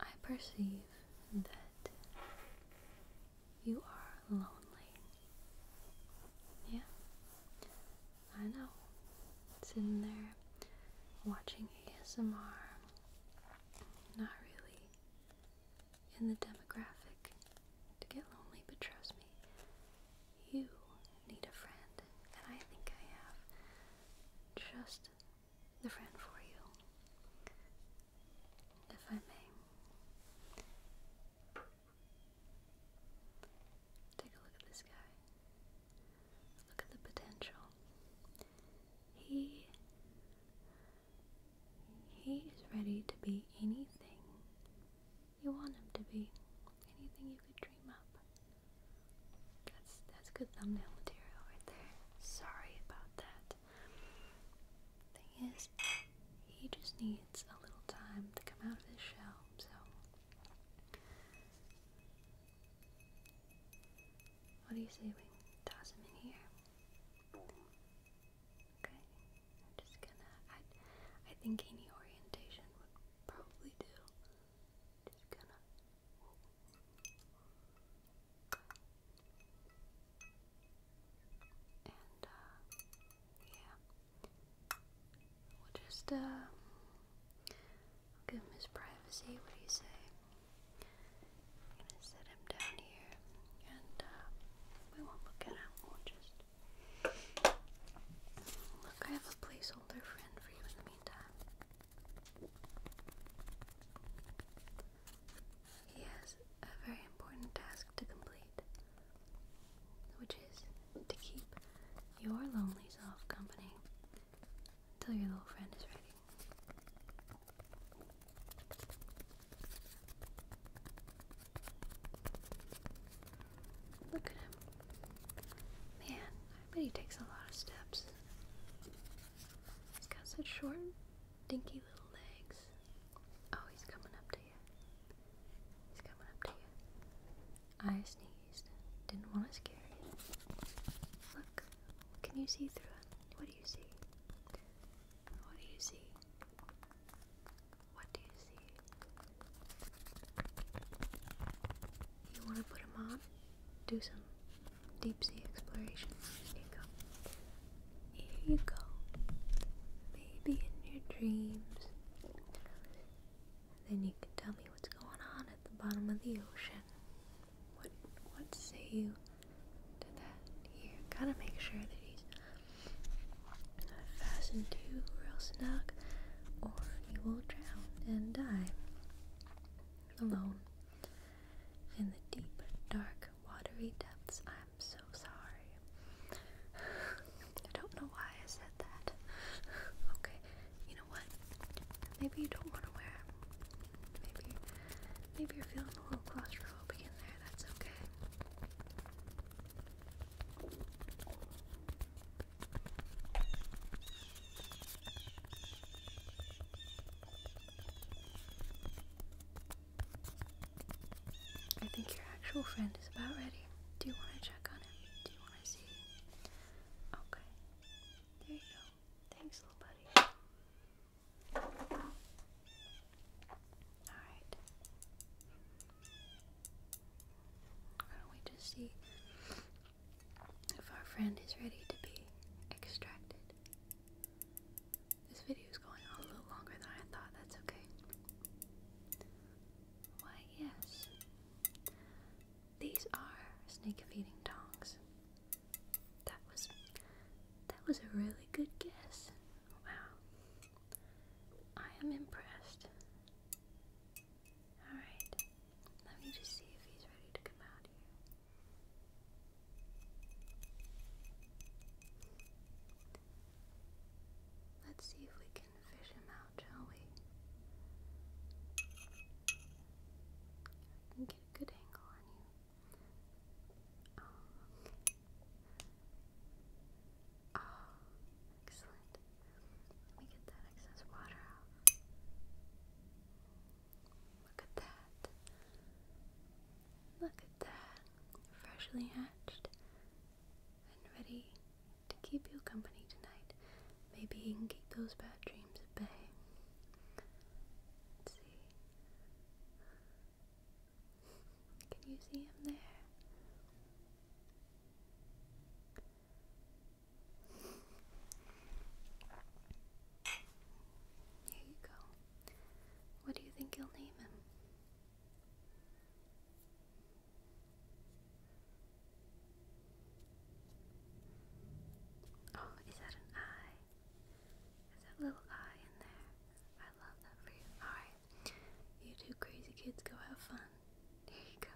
I perceive that you are lonely. Yeah, I know. Sitting there watching ASMR, not really in the demographic to get lonely, but trust me, you need a friend, and I think I have just the friend for you, if I may. Take a look at this guy. Look at the potential. He he is ready to be anything you want him to be, anything you could dream up. That's that's good thumbnail material right there. Sorry about that. Thing is, he just needs a little time to come out of his shell, so what do you say we toss him in here? Okay. I'm just gonna I I think any orientation would probably do. Just gonna. And, uh, yeah. We'll just, uh, give him his privacy. What do you say? gonna set him down here, and, uh, we won't look at him. We'll just. Look, I have a placeholder friend for you in the meantime. He has a very important task to complete, which is to keep your lonely self company until your little friend is ready. Look at him. Man, but he takes a lot of steps. He's got such short, dinky little legs. Oh, he's coming up to you. He's coming up to you. I sneezed. Didn't want to scare you. Look, can you see through it? What do you see? What do you see? What do you see? you want to put them on, do some deep sea exploration. Here you go. Here you go. Maybe in your dreams. Then you can tell me what's going on at the bottom of the ocean. What what say you to that? Here, gotta make sure that he's fastened to real snug, or he will drown and die alone. In the deep, dark, watery depths, I'm so sorry. I don't know why I said that. okay, you know what? Maybe you don't want to wear them. Maybe, maybe you're feeling a little claustrophobic in there. That's okay. I think your actual friend is about ready. Do you want to check on him? Do you want to see? Okay. There you go. Thanks, little buddy. Alright. Why don't we just see if our friend is ready to be extracted. This video is going on a little longer than I thought, that's okay. Why, yes. These are snake feeding tongs. That was that was a really good guess. Wow. I am impressed. Alright, let me just see if he's ready to come out here. Let's see if we can fish him out, shall we? get a good angle on you. oh, oh excellent. Let me get that excess water out. Look at that. Look at that. Freshly hatched and ready to keep you company tonight. Maybe you can keep those bad dreams at bay. Let's see. Can you see him there? Here you go. What do you think you'll name him? Oh, is that an eye? Is that little eye in there? I love that for you. Alright. You two crazy kids go have fun. There you go.